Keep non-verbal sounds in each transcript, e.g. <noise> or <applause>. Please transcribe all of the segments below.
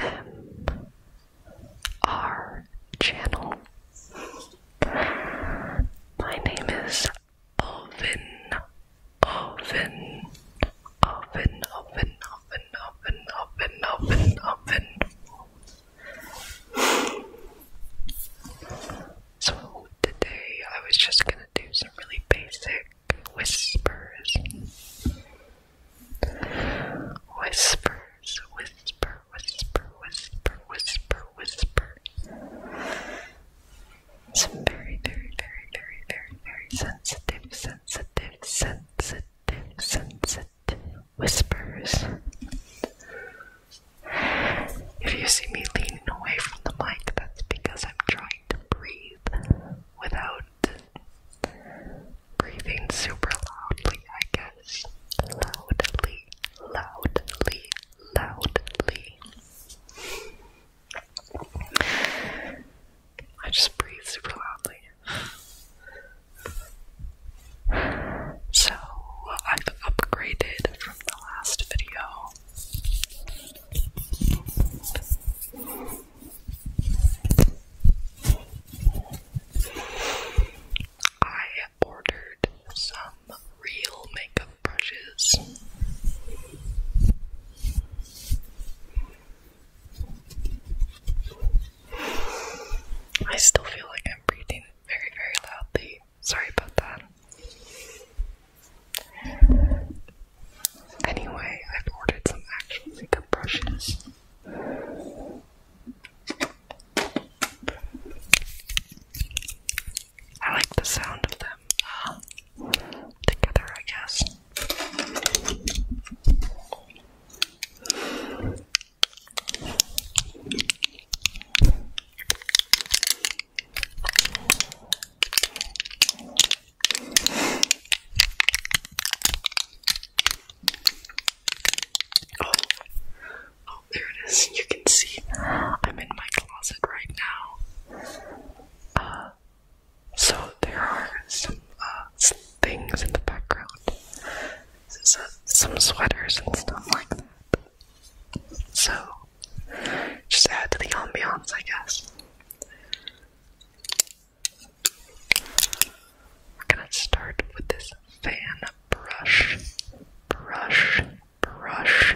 M R channel. My name is Oven, Oven, Oven, Oven, Oven, Oven, Oven, Oven, So today I was just gonna do some really basic whispers. Whispers, whisper, whisper, whisper, whisper, whisper. Some very, very, very, very, very, very sensitive, sensitive, sensitive, sensitive whispers. If you see me leaning away from the mic, that's because I'm trying to breathe without breathing super loudly, I guess. Loudly, loudly, loudly. I just breathe super loudly. So, I've upgraded from the last video. I ordered some real makeup brushes. I still feel like I'm breathing very, very loudly. Sorry about that. Anyway, I've ordered some actual makeup brushes. I like the sound of them um, together, I guess. Oh, oh, there it is. You can see I'm in my closet right now. Uh, so there are some uh, things in the background. Uh, some sweaters and stuff like that. So, just add to the ambiance, I guess. We're gonna start with this fan brush, brush, brush.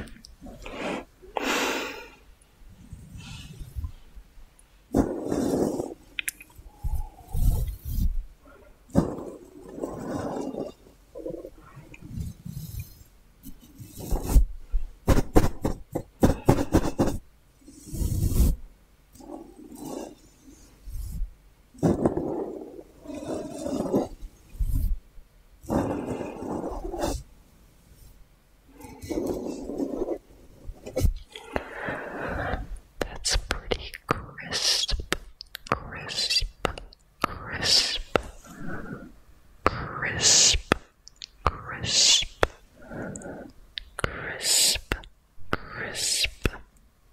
That's pretty crisp, crisp, crisp, crisp crisp, crisp, crisp,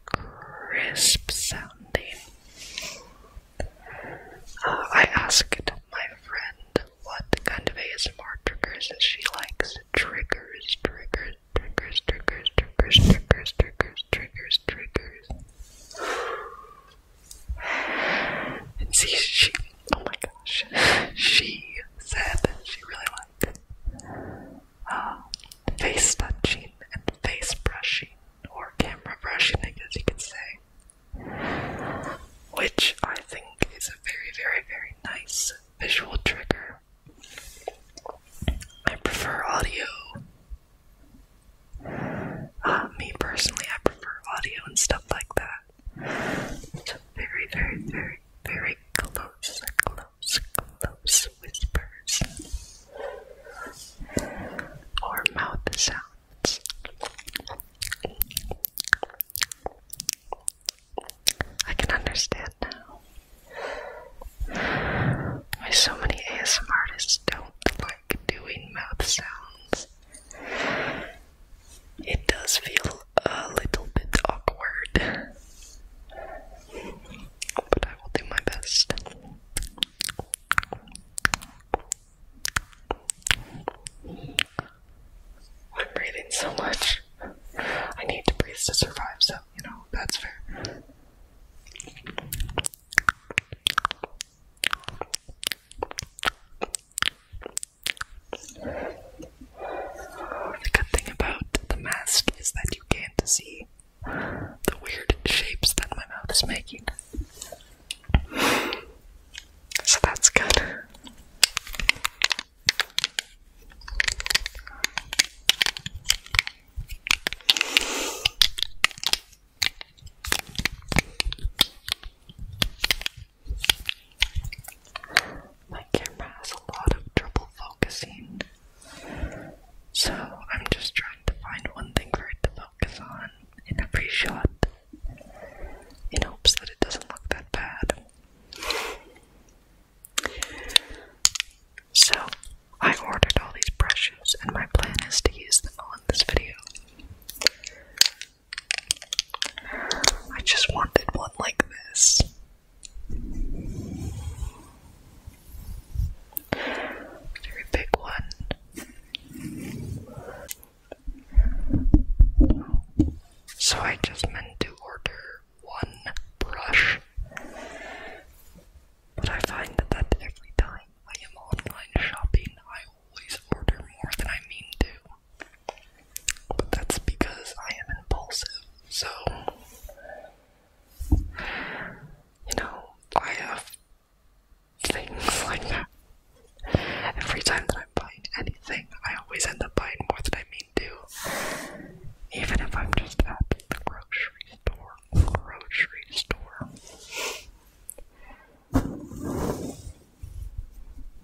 crisp sounding. Uh, I asked my friend what kind of ASMR triggers she likes triggers, triggers, triggers, triggers, triggers, triggers, triggers, triggers, see, she oh my gosh, she said she really liked uh, face touching and face brushing, or camera brushing, I guess you could say, which I think is a very, very, very nice visual trigger. I prefer audio. Uh, me personally, I prefer audio and stuff like that. It's a very, very, very, very close, close, close whispers or mouth sounds. I can understand now why so many ASM artists don't like doing mouth sounds. It does feel a little bit awkward, but I will do my best. I'm breathing so much. I need to breathe to survive, so you know, that's fair. The good thing about the mask is that you can't see the weird shapes that my mouth is making. So that's good. My camera has a lot of trouble focusing, so I'm just trying to find one thing for it to focus on in every shot in hopes that it doesn't look that bad. So, I ordered all these brushes, and my plan is to use them all in this video. I just wanted one like this. Very big one. So I just meant to order one brush. But I find that, every time I am online shopping, I always order more than I mean to. But that's because I am impulsive. So, you know, I have things <laughs> like that. Every time that I'm buying anything, I always end up buying more than I mean to. Even if I'm just at the grocery store. Grocery store.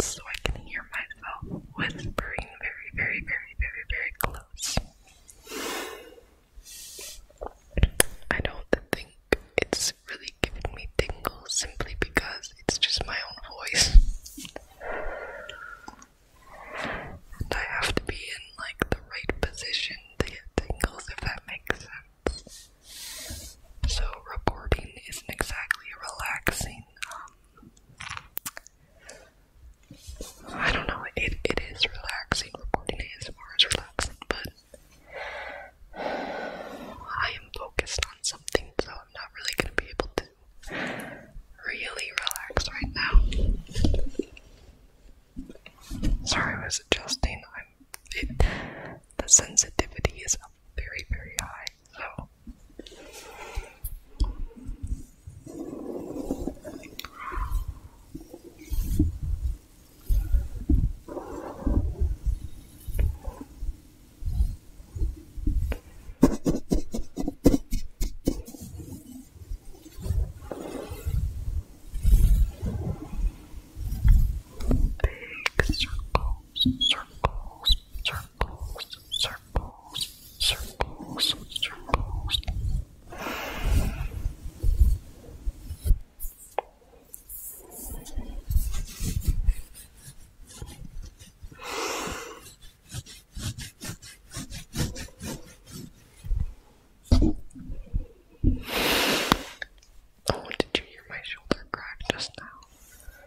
so I can hear myself whispering very, very, very, very, very close. I don't think it's really giving me tingles simply because it's just my own voice. And I have to be in like the right position to get tingles if that makes sense. So recording isn't exactly relaxing I don't know, it, it is relaxing. Recording ASMR as relaxing, but I am focused on something, so I'm not really going to be able to really relax right now. Sorry, I was adjusting. I'm, it, the sensitivity is up very, very high. So Big circles, circles, circles, circles, circles, circles, circles. Oh, did you hear my shoulder crack just now?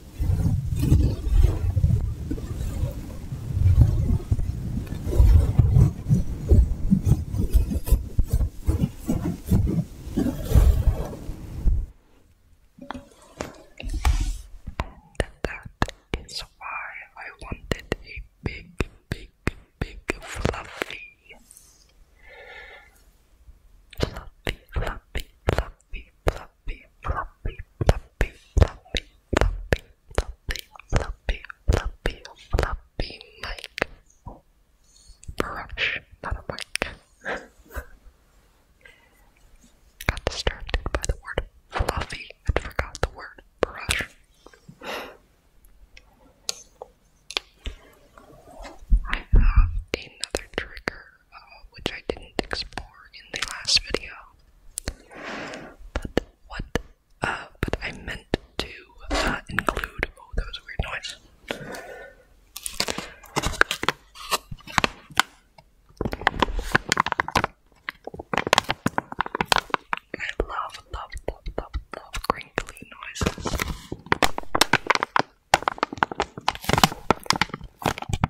that is why I wanted a big, big, big fluffy, fluffy, fluffy, fluffy, fluffy, fluffy, fluffy, fluffy, fluffy, fluffy, fluffy, fluffy, fluffy, fluffy Brush, not a mic. Got distracted by the word fluffy and forgot the word brush. I have another trigger uh, which I didn't explore in the last video. But what? Uh, but I meant to uh, include. Oh, that was a weird noise. I love, love, love, love, love crinkly noises.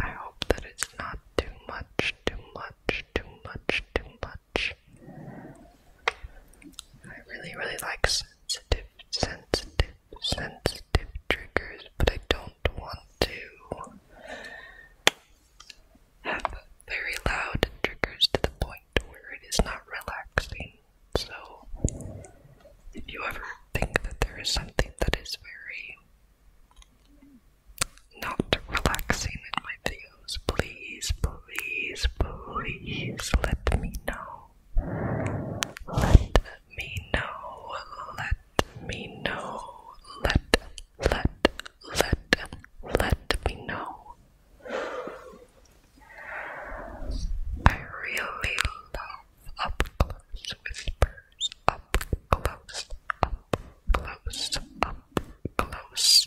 I hope that it's not too much, too much, too much, too much. I really, really like sensitive, sensitive, sensitive triggers, but I don't want to have very loud triggers to the point where it is not relaxing. So, if you ever think that there is something that is very not relaxing in my videos, please, please, please let me know. Let me know, let me know, let, let, let, let me know. I really love up close whispers, up close, up close, up close.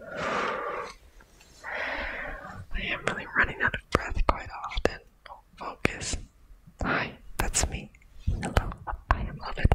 I am really running out of breath quite often. Oh, focus. Hi, that's me. Hello, I am love it.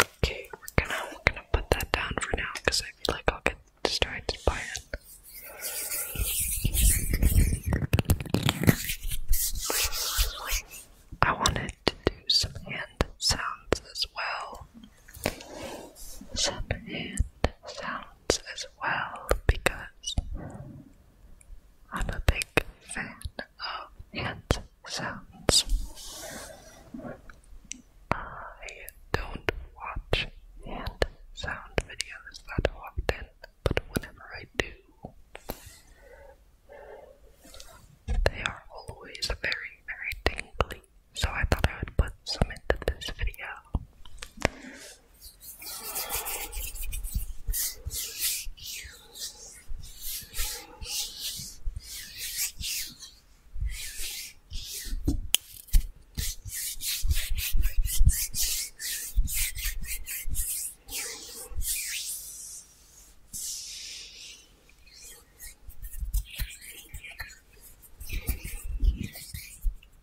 Okay, we're gonna we're gonna put that down for now because I feel like I'll get distracted by it. I wanted to do some hand sounds as well some hand sounds as well because I'm a big fan of hand sounds. I don't watch hand sound videos that often, but whenever I do, they are always very, very tingly so I thought I would put some into this video.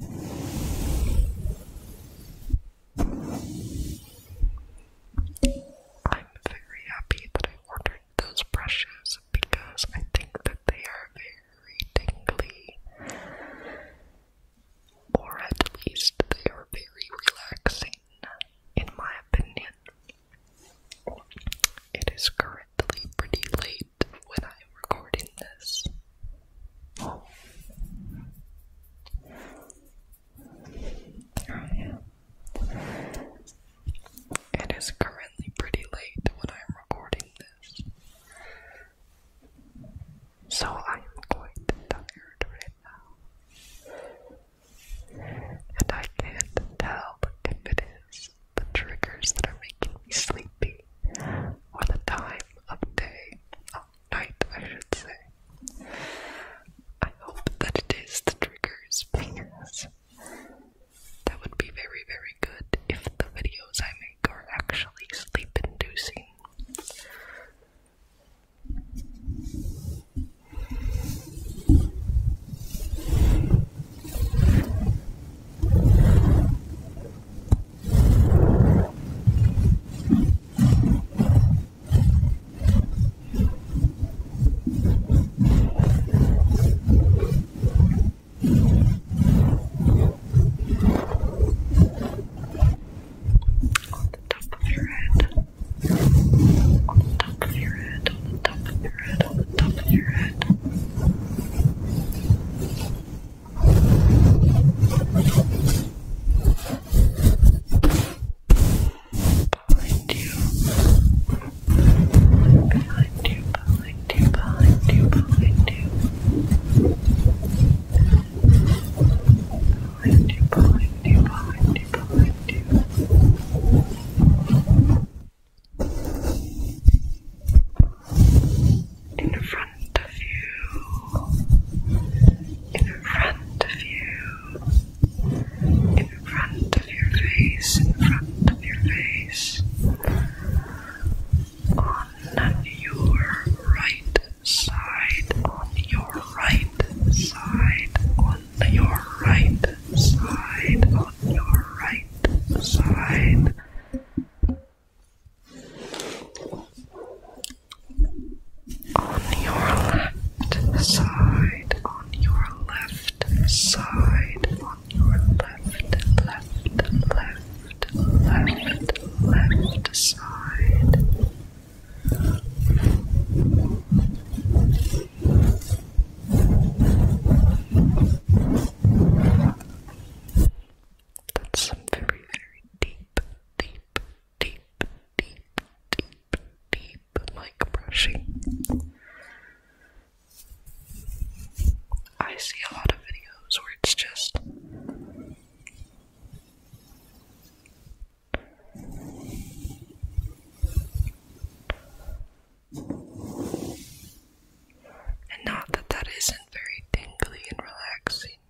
I'm very happy that I ordered those brushes because I think that they are very tingly, or at least they are very relaxing, in my opinion. It is currently pretty late when I am recording this, yeah. It is currently pretty late when I'm recording this. So I am quite tired right now. And I can't tell if it is the triggers that are making me sleepy or the time of day night, I should say. I hope that it is the triggers because that would be very, very good if the videos I make are actually sleep inducing. On the top of your head. On the top of your head. On the top of your head. On the top of your head. Behind you. Behind you, behind you, behind you, behind you. Behind you, behind you, behind you, behind you. In front front of you, in front of you, in front of your face, in front of your face, on your right side, on your right side, on your right side, on your right side. On your left side, on your left side, on your left, left, left, left, left side. That's very, very deep, deep, deep, deep, deep, deep mic brushing. I see a lot of videos where it's just and not that that isn't very tingly and relaxing using.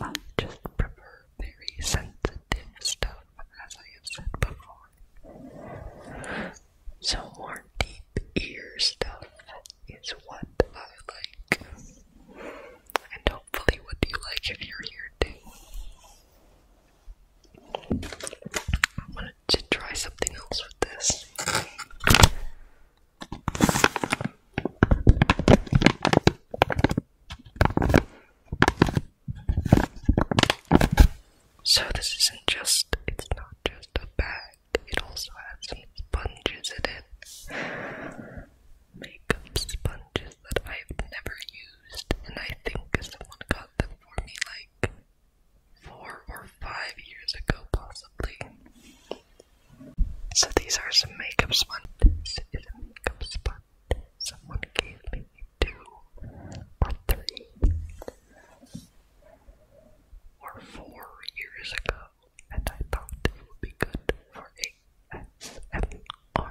Um, I just prefer very sensitive stuff, as I have said before. So, more deep ear stuff is what I like. And hopefully, what you like if you're here too. I wanted to try something else with this. So this isn't just, it's not just a bag, it also has some sponges in it. Makeup sponges that I've never used, and I think someone got them for me like four or five years ago, possibly. So these are some makeup spots. makeup sponge. Someone gave me two or three or four years ago, and I thought it would be good for ASMR.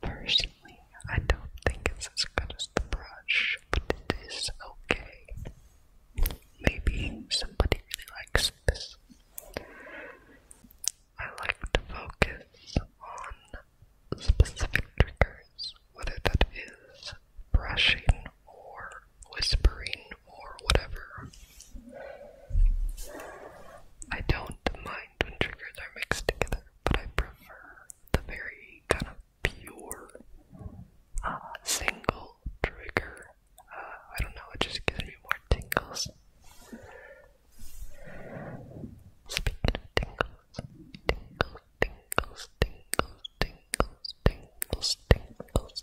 Personally, I don't think it's as good as the brush, but it is okay. Maybe somebody really likes this. I like to focus on specific triggers, whether that is brushing or whispering or whatever. I don't mind when triggers are mixed together, but I prefer the very kind of pure uh, single trigger. Uh, I don't know, it just gives me more tingles. Speaking of tingles, tingles, tingles, tingles, tingles, tingles, tingles,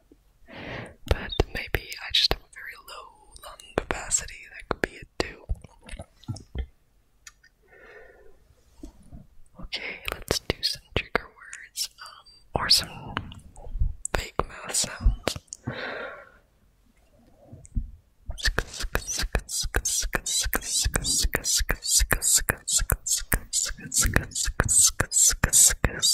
But maybe I just have very low lung capacity. That could be it too. Okay, let's do some trigger words um, or some fake mouth sounds.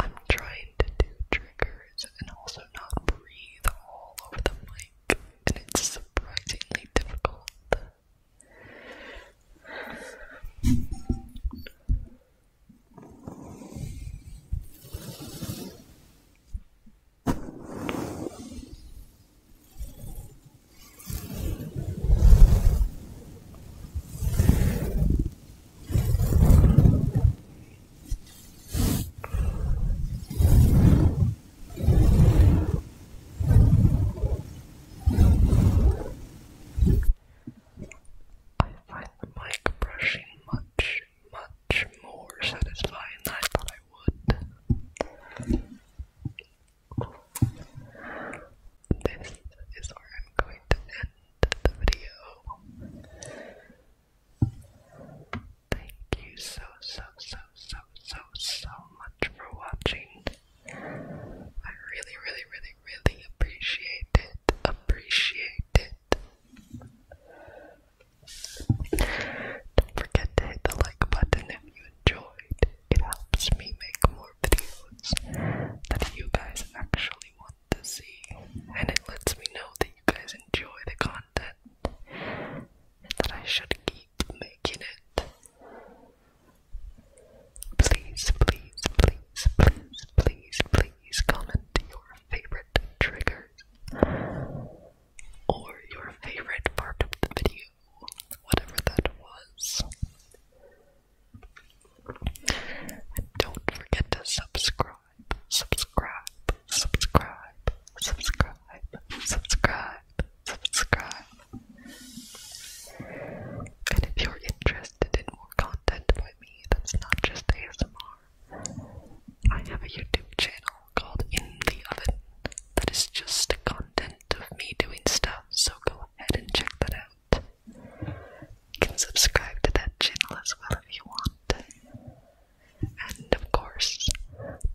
I'm trying to do triggers and also not breathe all over the mic, and it's surprisingly difficult. I find the mic brushing much, much more satisfying than I thought I would. This is where I'm going to end the video. Thank you so, so, so, so, so, so much for watching. I really, really, really, really appreciate it. Appreciate it. Don't forget to hit the like button if you enjoyed. It helps me make more videos that you guys actually want to see, and it lets me know that you guys enjoy the content and that I should keep making it. Please, please, please, please, please, please comment your favorite triggers or your favorite part of the video, whatever that was. And don't forget to subscribe subscribe, subscribe, subscribe, subscribe, subscribe. And if you're interested in more content by me that's not just ASMR, I have a YouTube channel called In the Oven that is just content of me doing stuff, so go ahead and check that out. You can subscribe to that channel as well if you want. And of course,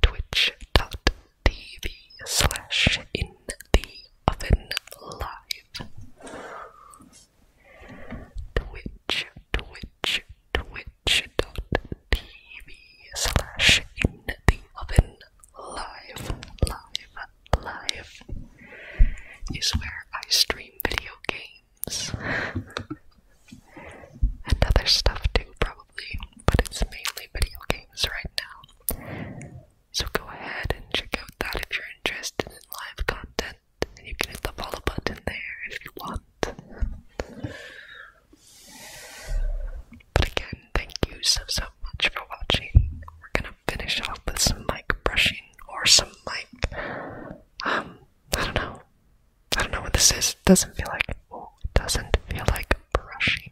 twitch.tv slash Twitch, Twitch, twitch.tv slash live, live, live is where I stream video games and other stuff too, probably, but it's mainly video games right now. So go ahead and check out that if you're interested in live content, and you can hit the follow button there if you want. But again, thank you so so much for watching. We're gonna finish off with some mic brushing or some mic um, I don't know. I don't know what this is. It doesn't feel like oh, it doesn't feel like brushing.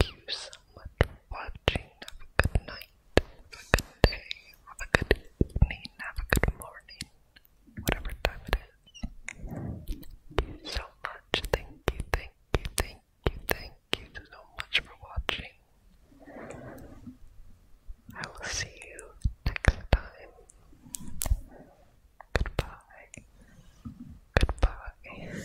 you so much for watching. Have a good night, have a good day, have a good evening, have a good morning, whatever time it is. you so much. Thank you, thank you, thank you, thank you so much for watching. I will see you next time. Goodbye. Goodbye.